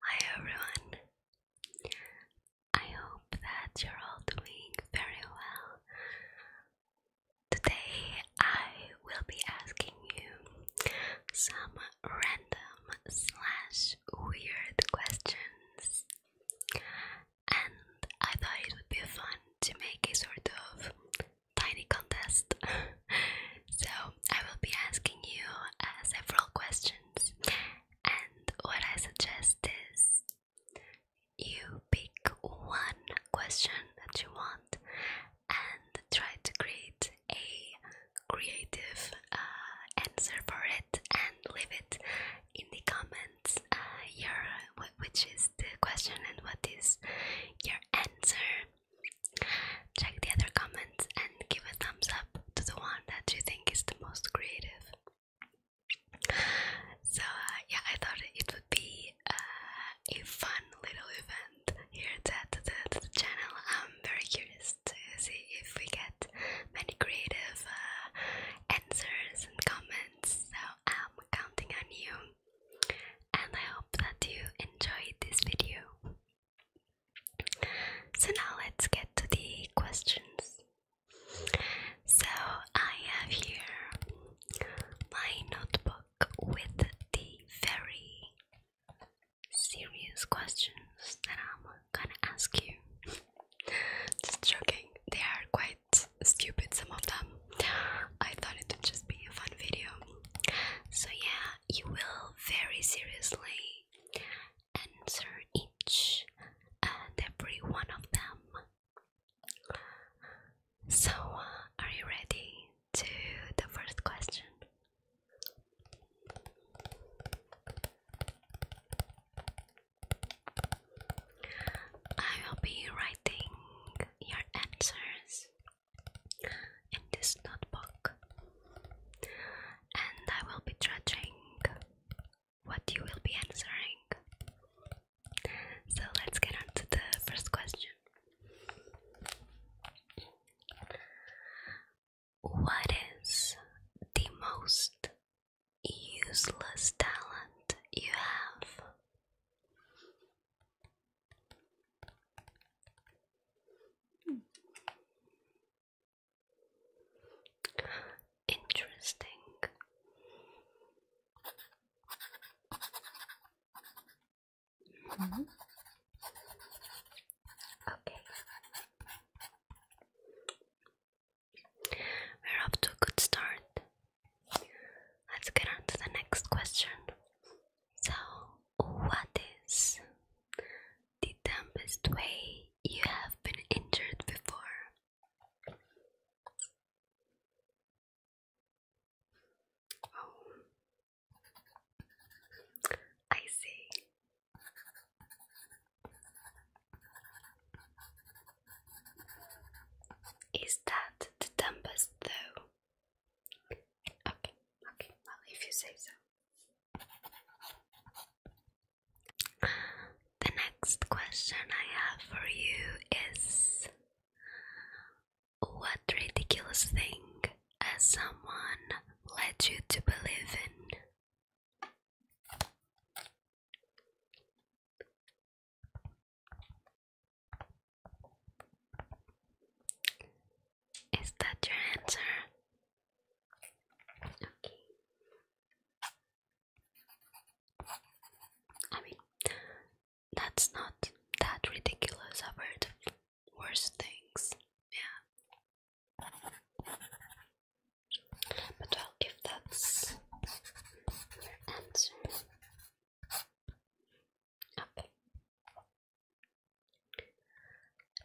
Hi everyone. I hope that you're all doing very well. Today I will be asking you some random slash weird questions and I thought it would be fun to make a sort of tiny contest. so I will be asking you uh, several questions, and what I suggest is you pick one question that you want and try to create a creative uh, answer for it and leave it in the comments uh, your which is the question and what is your answer. Check the other comments and give a thumbs up to the one that you think is the most creative. So uh, yeah, I thought it would be uh, a fun little event here at the, channel. I'm very curious to see if we get many creative answers and comments. So counting on you, and I hope that you enjoyed this video. So, now let's get to the questions. So, I have here my notebook with the very serious questions that I'm gonna ask you. Just joking, they are quite stupid, some of them. I thought it would just be a fun video. So, yeah, you will very seriously answer each and every one of them. So, uh, are you ready to the first question? I will be writing your answers in this notebook and I will be judging what you will be answering. So let's get on the first question. What is the most useless talent you have. Interesting. Mm-hmm. Okay. We're off to a good start. Let's get on to the next question. So, what is the dumbest way you have been injured before? Oh. I see. Is that the dumbest though? Okay, okay, well, if you say so. The next question I have for you is What ridiculous thing has someone led you to believe in? Is that your answer? Okay. I mean, that's not that ridiculous. I've heard worse things. Yeah. But well, if that's your answer, okay.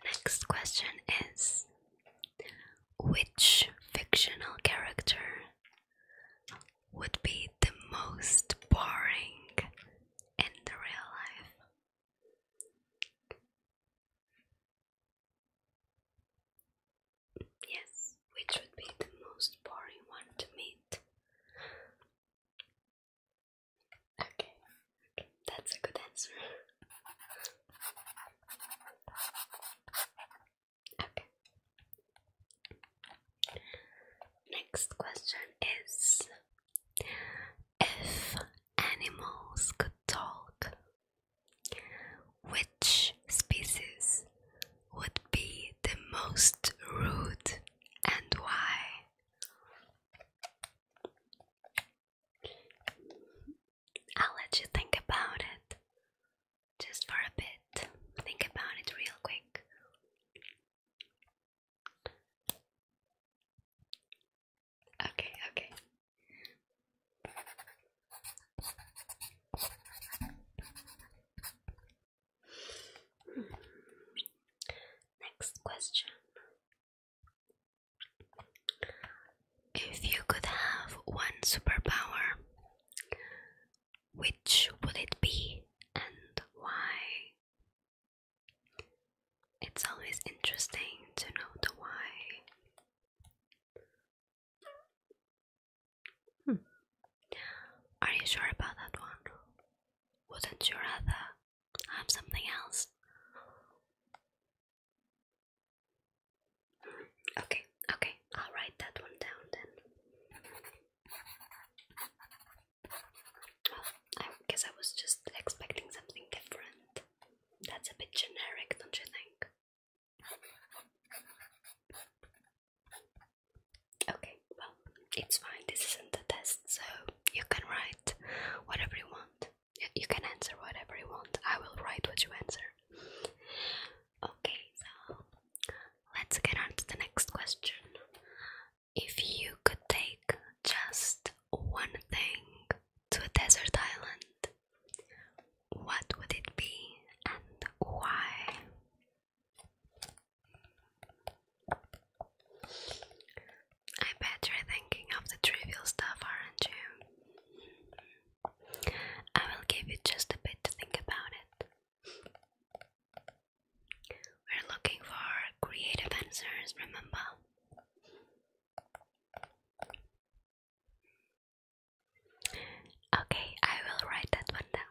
Next question is Which fictional character would be the most boring in the real life? Yes, which would be the most boring one to meet. Okay, that's a good answer. okay. Next question is if animals could talk, which species would be the most rude and why? I'll let you think about it just for a bit. Think about it real quick. Okay, okay. Next question. If you could have one superpower, which would it be and why? It's always interesting to know the why. Hmm. Are you sure about that one? Wouldn't you rather have something else? Okay, okay, I'll write that one down then. Oh, I guess I was just expecting something different. That's a bit generic, don't you think? Okay, well, it's fine. This isn't a test, so you can write whatever you want. You can answer whatever you want. I will write what you answer. Okay, so let's get on to the next question. If you could take just one thing to a desert island, what would it be and why? I bet you're thinking of the trivial stuff, aren't you? I will give you just a bit to think about it. We're looking for creative answers, remember? Okay, I will write that one down.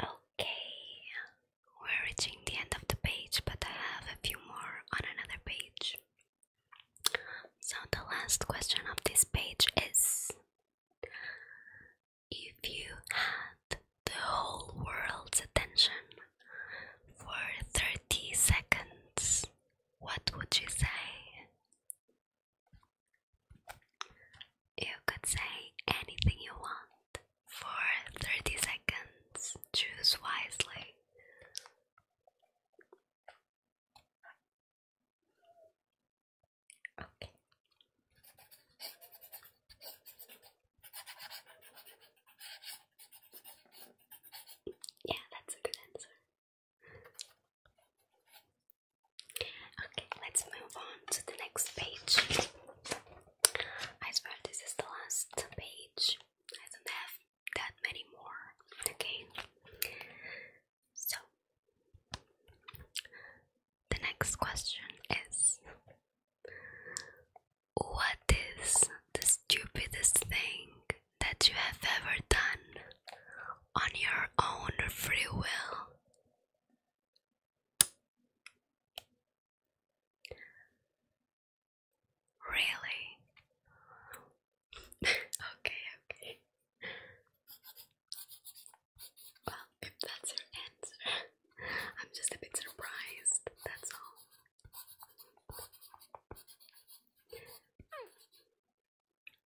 Okay, we're reaching the end of the page, but I have a few more on another page. So, the last question of this page is If you had the whole world's attention for 30 seconds, what would you say? You could say anything you want for 30 seconds, choose wisely. Okay. Yeah, that's a good answer. Okay, let's move on to the next page. I swear this is the last page. I don't have that many more. Okay, so the next question is What is the stupidest thing that you have ever done on your own free will? Really? okay, okay. Well, if that's your answer, I'm just a bit surprised, that's all.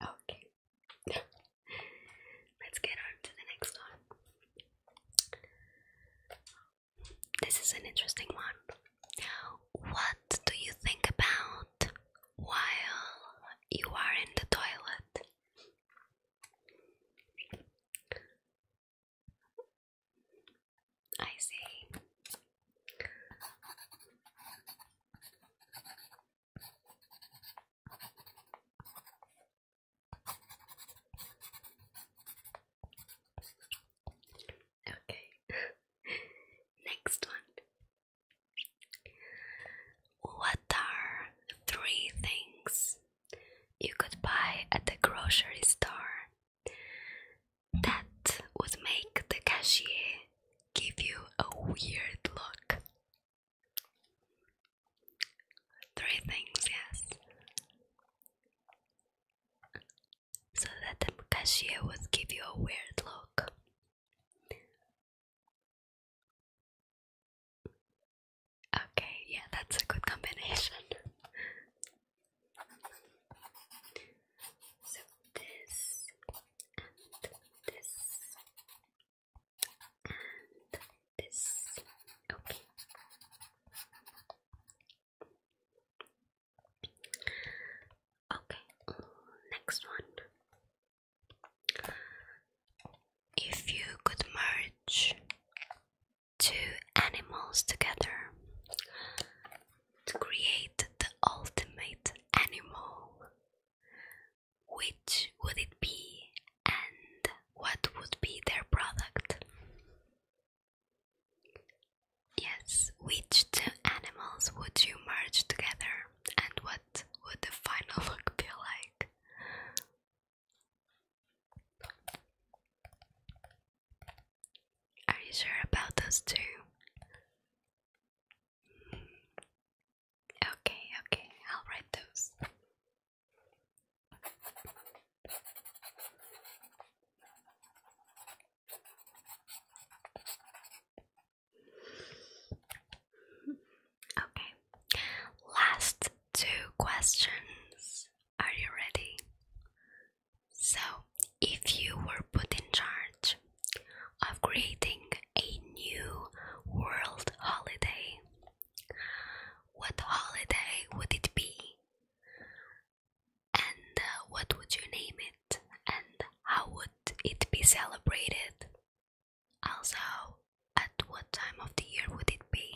Okay. Let's get on to the next one. This is an interesting one. What do you think about while you are in the toilet. I see. Okay. Next one. What are three things you could buy at the grocery store that would make the cashier give you a weird look? Three things, yes so that the cashier would give you a weird look. Okay, yeah, that's a good combination. so this and this and this. Okay. Okay, next one. If you could merge two animals together to create the ultimate animal, which would it be and what would be their product? Yes, which two animals would you merge together and what would the final look be like? Are you sure about those two? Okay, okay, I'll write those. Okay, last two questions. Are you ready? So, if you were put in charge of creating a new world holiday, what holiday would it be? And uh, what would you name it? And how would it be celebrated? Also, at what time of the year would it be?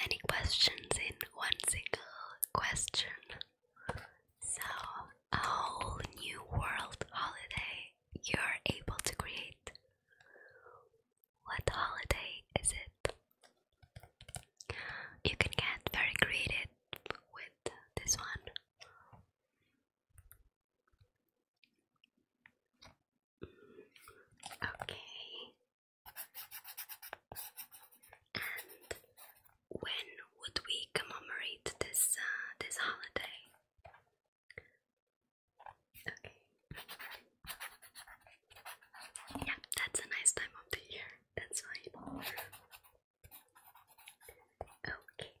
Many questions in one single question. So, a whole new world holiday you're able to create. What holiday is it? You can get very creative with this one. Okay. And when would we commemorate this uh, this holiday? Yeah, that's a nice time of the year. That's how you Okay.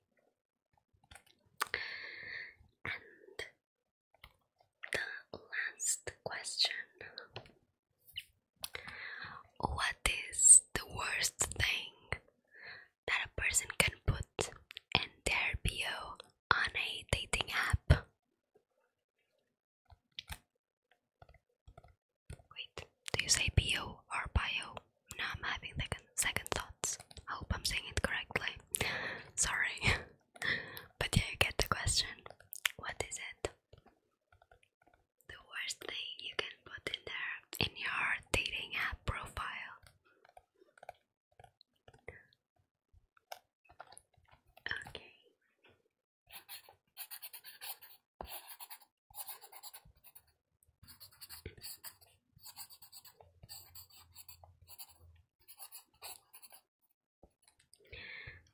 And the last question What is the worst thing that a person can put in their bio on a dating app? Wait, do you say bio or bio? No, I'm having second thoughts. I hope I'm saying it correctly. Sorry. but yeah, you get the question. What is it? The worst thing you can put in there in your dating app profile. Okay.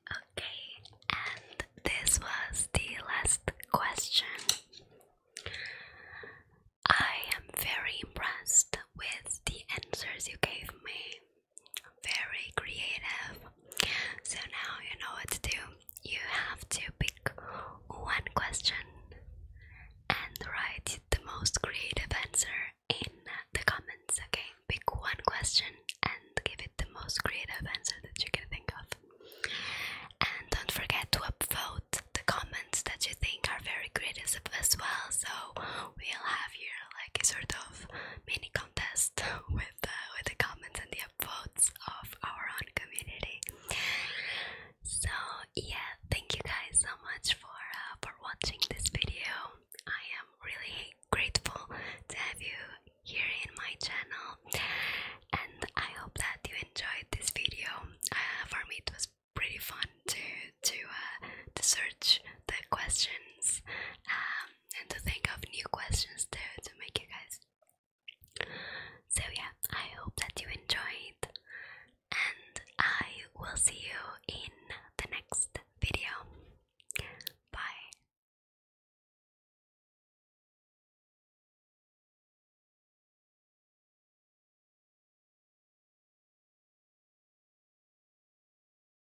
Okay, and this was the last question. I am very impressed with the answers you gave me very creative. So now you know what to do. You have to pick one question and write the most creative answer in the comments, okay? Pick one question and give it the most creative answer that you can think of. And don't forget to upvote the comments that you think are very creative as well. So we'll have here like a sort of mini contest with uh, with the comments and the upvotes of our own community. So yeah, thank you guys so much for uh, for watching this video. I am really grateful to have you here in my channel, and I hope that you enjoyed this video. Uh, for me, it was pretty fun to to uh, to search the questions um, and to think of new questions too to make you guys. So, yeah, I hope that you enjoyed, and I will see you in the next video. Bye.